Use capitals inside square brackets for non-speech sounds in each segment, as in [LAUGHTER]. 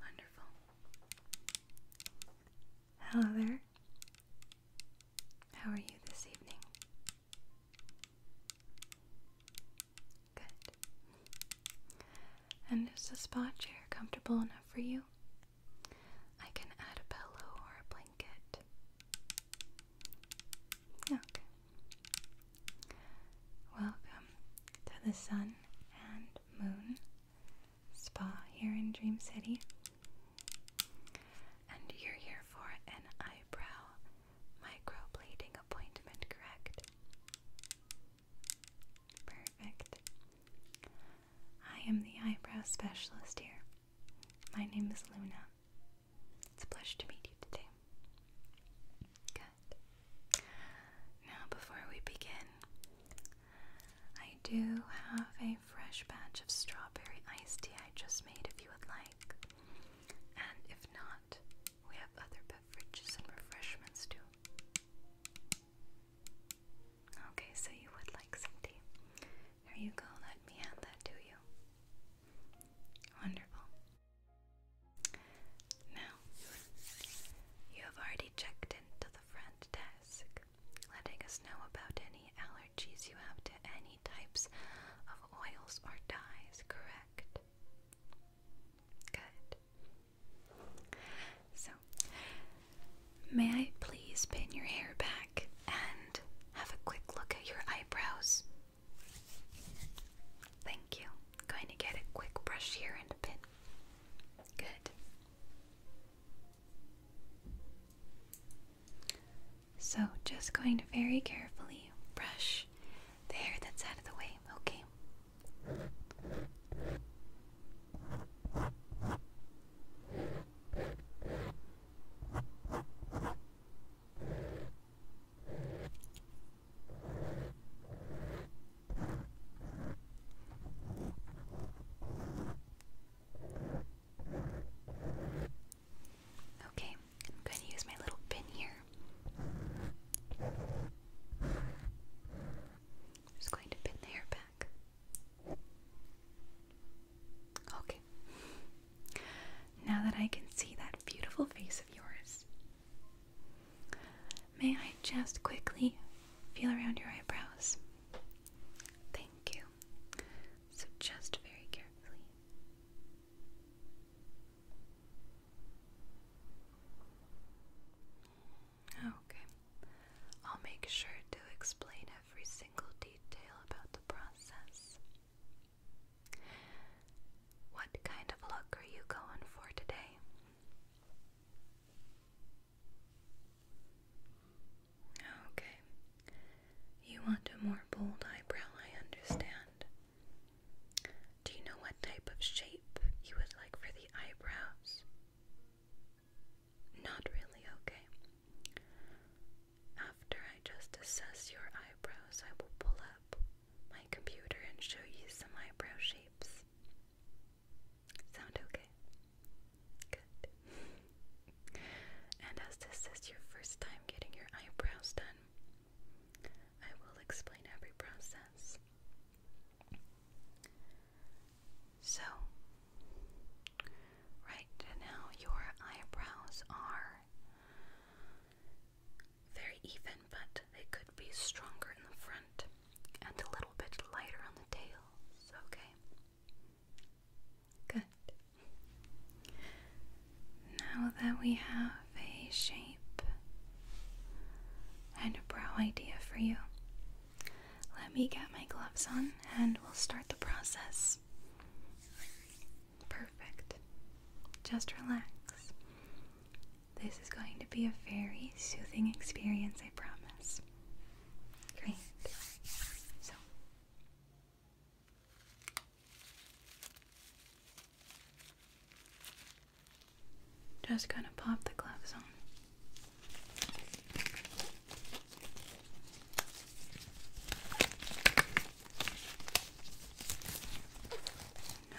Wonderful. Hello there. How are you this evening? Good. And is the spot chair comfortable enough for you? I can add a pillow or a blanket. Okay. Welcome to the sun and Moon Spa here in Dream City. And you're here for an eyebrow microblading appointment, correct? Perfect. I am the eyebrow specialist here. My name is Luna. It's a pleasure to meet you today. Now, before we begin, I do have a fresh batch of strawberry iced tea I just made if you would like. And if not, we have other beverages and refreshments too. Okay, so you would like some tea. There you go, let me hand that to you. Wonderful. Now, you have already checked into the front desk, letting us know about any allergies you have to any types of oils or dyes, correct? Good. So, may I please pin your hair back and have a quick look at your eyebrows? Thank you. going to get a quick brush here and pin Good. So, just going to very carefully brush the hair that's out of the way, okay? Okay, I'm going to use my little pin here. I'm just going to pin the hair back. Okay. Now that I can see that beautiful face of yours, May I just quickly feel around your eyebrows? Thank you. So, just very carefully. Okay. I'll make sure to explain every single detail about the process. What kind of look are you going for today? Okay. You want a more bold eyebrow, I understand. Do you know what type of shape you would like for the eyebrows? Not really, okay. After I just assess your eyebrows, I will pull up my computer and show you some eyebrow shapes. Sound okay? Good. and as this is your first time getting your eyebrows done, I will explain every process. So, right now, your eyebrows are very even, but they could be stronger in the front and a little bit lighter on the tails, okay? Good. Now that we have a shape and brow idea for you, let me get my gloves on and we'll start the process. Perfect. Just relax. This is going to be a very soothing experience, I promise. Great. So. Just gonna pop the gloves on.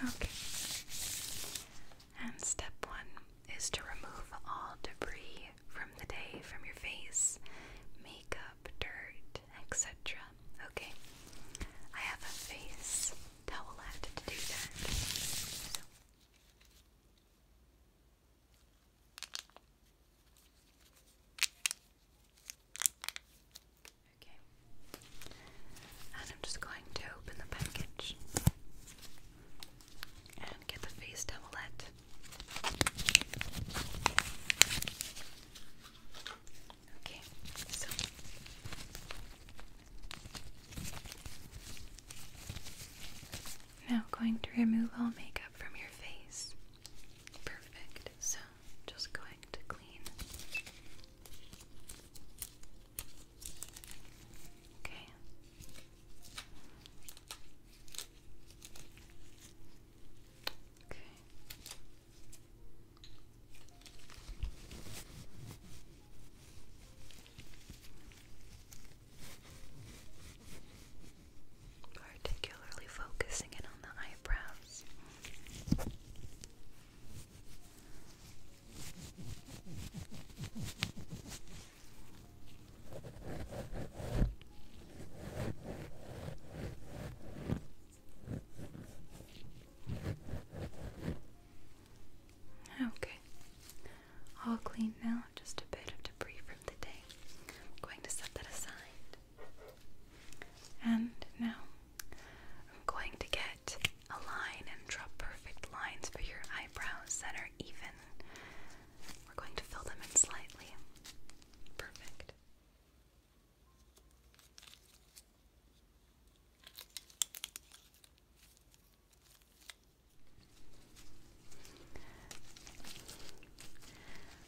Okay. And step one is to remove all debris from the day, from your face, makeup, dirt, etc. Okay, I have a face towelette to do that. Okay. And I'm just going to open the package and get the face towelette. Okay, so now going to remove all makeup from your face. Perfect. So just going to clean Okay. Okay. Particularly focusing in on the eyebrows. Okay, all clean now, just a bit of debris from the day. I'm going to set that aside. And now I'm going to get a line and draw perfect lines for your eyebrows that are even. We're going to fill them in slightly. Perfect.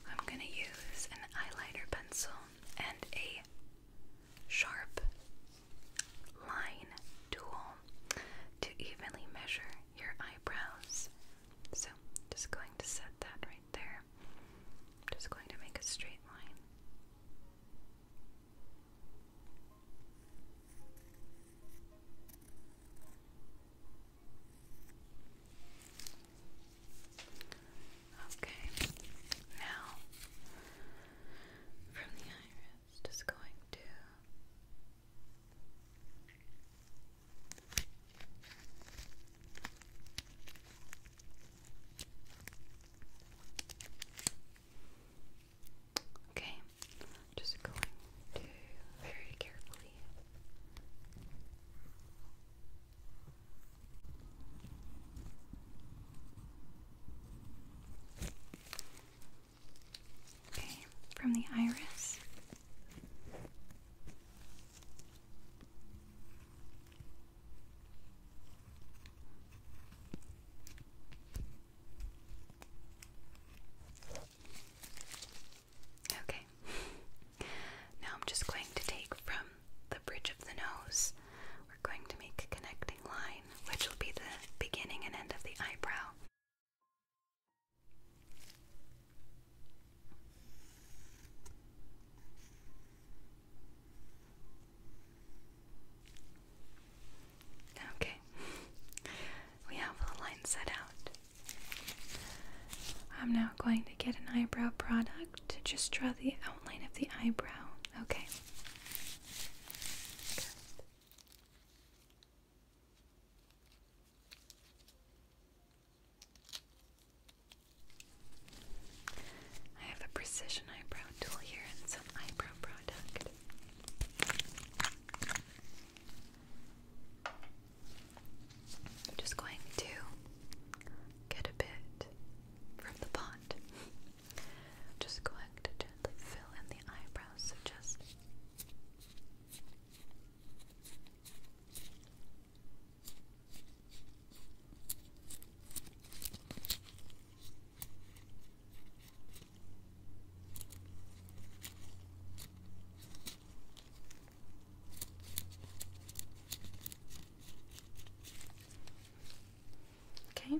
I'm going to use an eyeliner pencil and a sharp line tool to evenly measure your eyebrows. So, just going to set that right there. Just going to make a straight line. Okay, now from the iris, just going to Okay, just going to very carefully Okay, from the iris. Okay. Now I'm just going to take from the bridge of the nose. We're going to make a connecting line which will be the beginning and end of the eyebrow. Okay, we have the line set out. I'm now going to get an eyebrow product to just draw the outline of the eyebrow. Okay. I have a precision eyebrow tool here and some eyebrow product. am just going to get a bit from the pot. [LAUGHS] Just going to gently fill in the eyebrows, just Okay,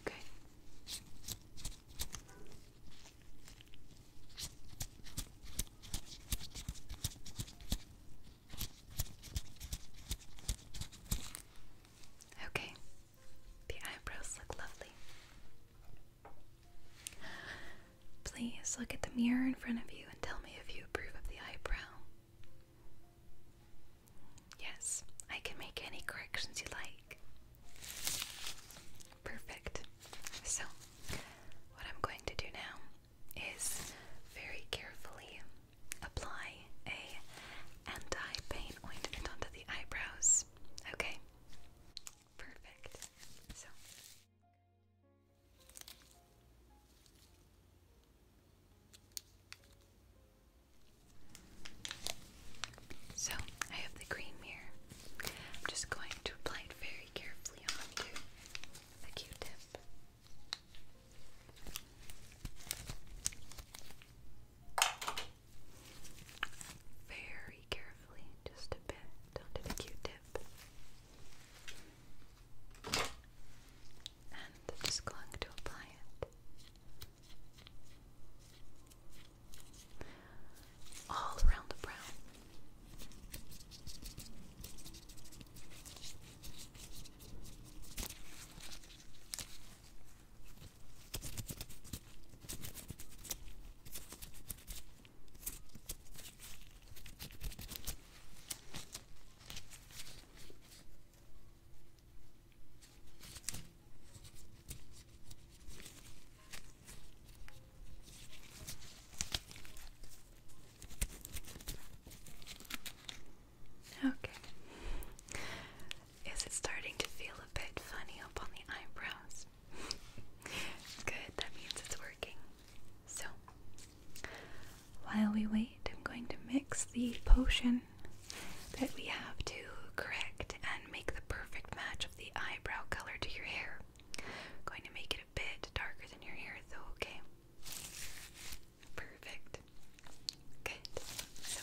Okay. Okay, the eyebrows look lovely. Please look at the mirror in front of you and tell me if you approve of the eyebrow. Yes, I can make any corrections you like. Perfect. So, what I'm going to do now is very carefully apply a anti-pain ointment onto the eyebrows. Okay? Perfect. So so I have the cream here. I'm just going to apply it very carefully onto the Q-tip. Very carefully, just a bit onto the Q-tip. And just going to apply it all around the brow. Okay. Is it starting to feel a bit funny up on the eyebrows? [LAUGHS] Good, that means it's working. So, while we wait, I'm going to mix the potion that we have to correct and make the perfect match of the eyebrow color to your hair. going to make it a bit darker than your hair though, okay? Perfect. Good. So.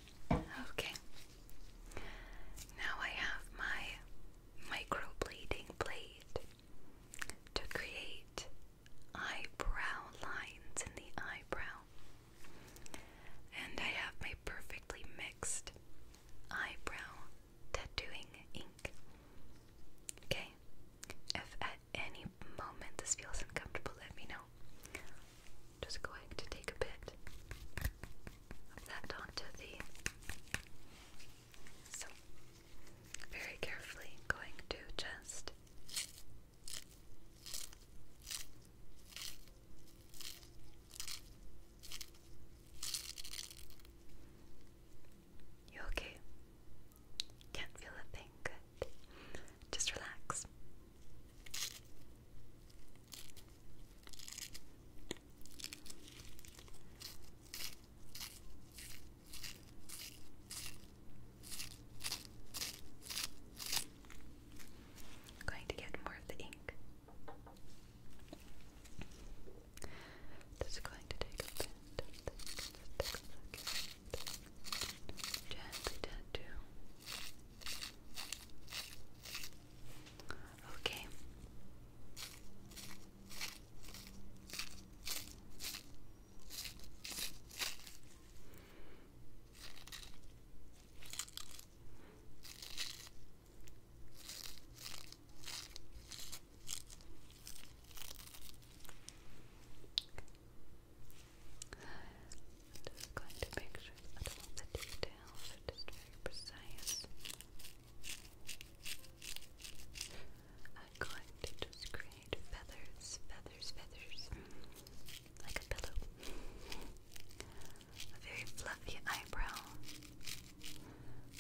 Okay. Now I have my microblading blade to create eyebrow lines in the eyebrow. And I have my perfectly mixed eyebrow tattooing ink. Okay. If at any moment this feels uncomfortable, let me know. Just going to take a bit of that onto the. So, very carefully, going to just you okay? Can't feel a thing. Good. Just relax. I'm going to get more of the ink. Just going to take a bit of gently tattoo Okay. i just going to make sure that all the details they I'm going to just create feathers, feathers, feathers, like a pillow. A very fluffy eyebrow.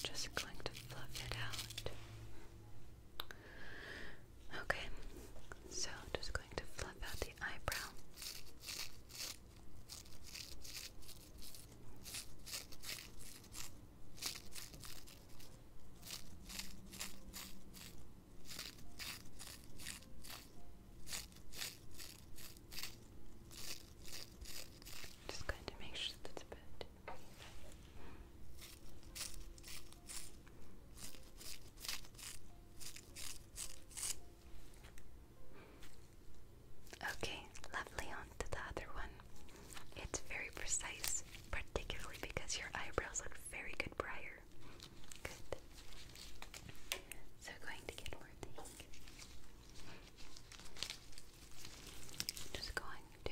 Just going to fluff it out. Okay, so just going to fluff out the eyebrow. Just going to make sure that's a bit Okay, lovely. On to the other one. It's very precise, particularly because your eyebrows look very good prior. Good. So, going to get more Just going to.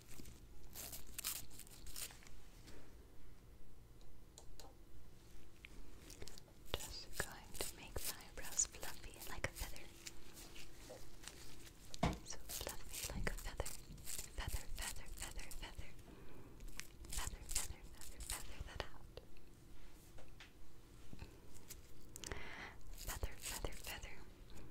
Just going to make the eyebrows fluffy like a feather. So fluffy like a feather. Feather, feather, feather, feather. Feather, feather, feather, feather Feather, feather, feather.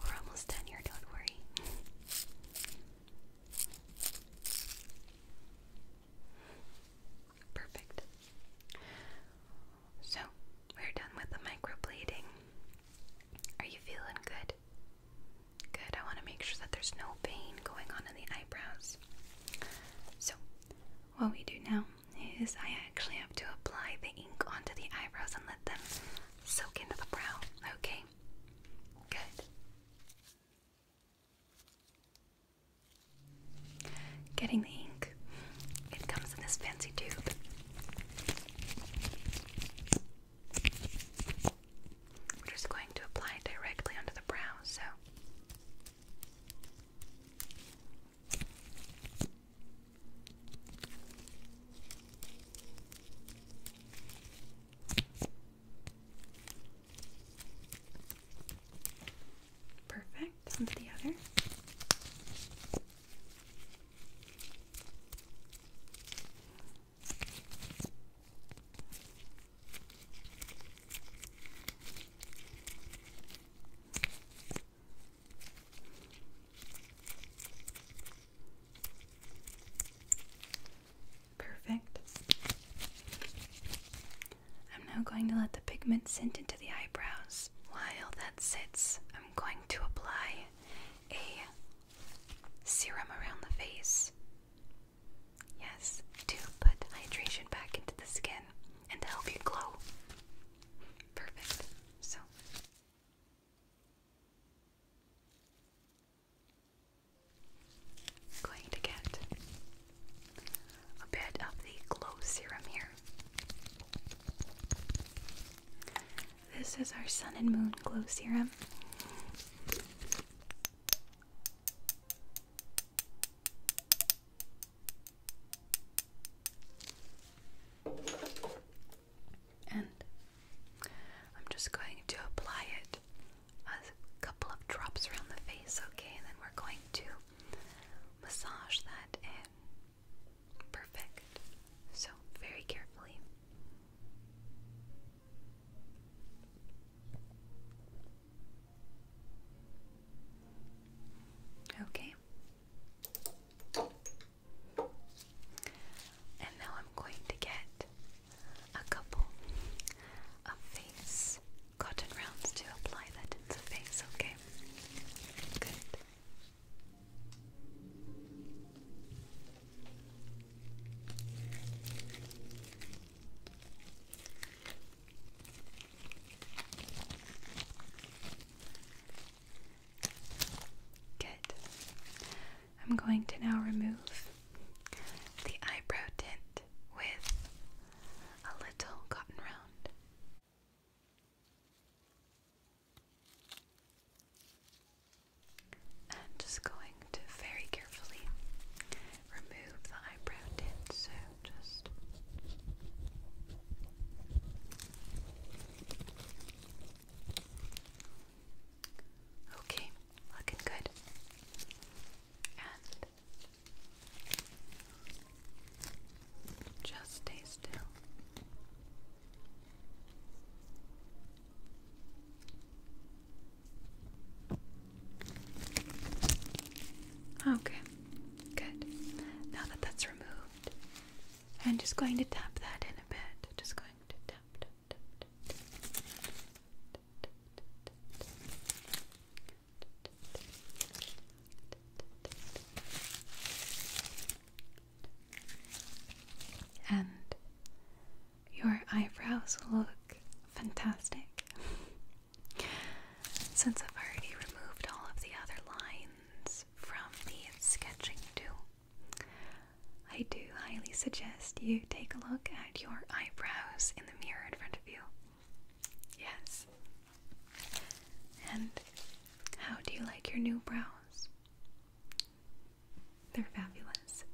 we're almost done here, don't worry. Perfect. So, we're done with the microbleeding. Are you feeling good? Good. I want to make sure that there's no pain going on in the eyebrows. So, what we do now is I actually have to apply the ink onto the eyebrows and let them soak into the brow, okay? Good. Getting the ink. It comes in this fancy tube. We're just going to apply it directly onto the brow, so Perfect. Onto the other. Perfect. I'm now going to let the pigment sink into the eyebrows. While that sits, I'm going to apply a serum around the face. Yes, to put hydration back into the skin and to help you glow. Perfect. So, going to get a bit of the glow serum here. This is our sun and moon glow serum and I'm just going to apply it a couple of drops around the face, okay? And then we're going to massage that in. Perfect. So, very carefully. Okay. And now I'm going to get a couple of face cotton rounds to apply that into the face, okay? Good. Okay. Good. I'm going to now remove the eyebrow tint with a little cotton round. I'm just going to very carefully remove the eyebrow tint, so just Okay, looking good. And just stay still. Okay, good. Now that that's removed, I'm just going to tap that in a bit. Just going to tap, And your eyebrows look fantastic. Since I've already removed all of the other lines from the sketching tool, I do highly suggest you take a look at your eyebrows in the mirror in front of you. Yes. And how do you like your new brows? They're fabulous.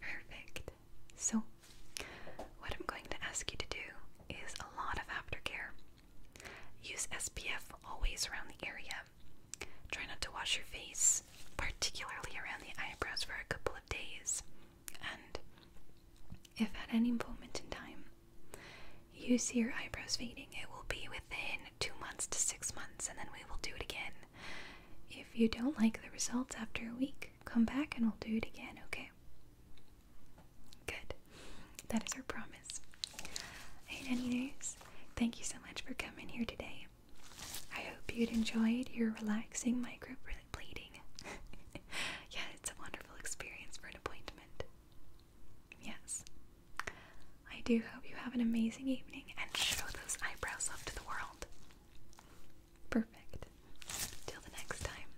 Perfect. So, what I'm going to ask you to do is a lot of aftercare. Use SPF always around the area. Try not to wash your face, particularly around the eyebrows, for a couple of days. And if at any moment in time you see your eyebrows fading, it will be within two months to six months, and then we will do it again. If you don't like the results after a week, come back and we'll do it again, okay? Good. That is our promise. Anyways, thank you so much for coming here today. I hope you enjoyed your relaxing microblading. [LAUGHS] yeah, it's a wonderful experience for an appointment. Yes. I do hope you have an amazing evening and show those eyebrows off to the world. Perfect. Till the next time.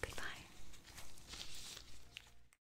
Goodbye.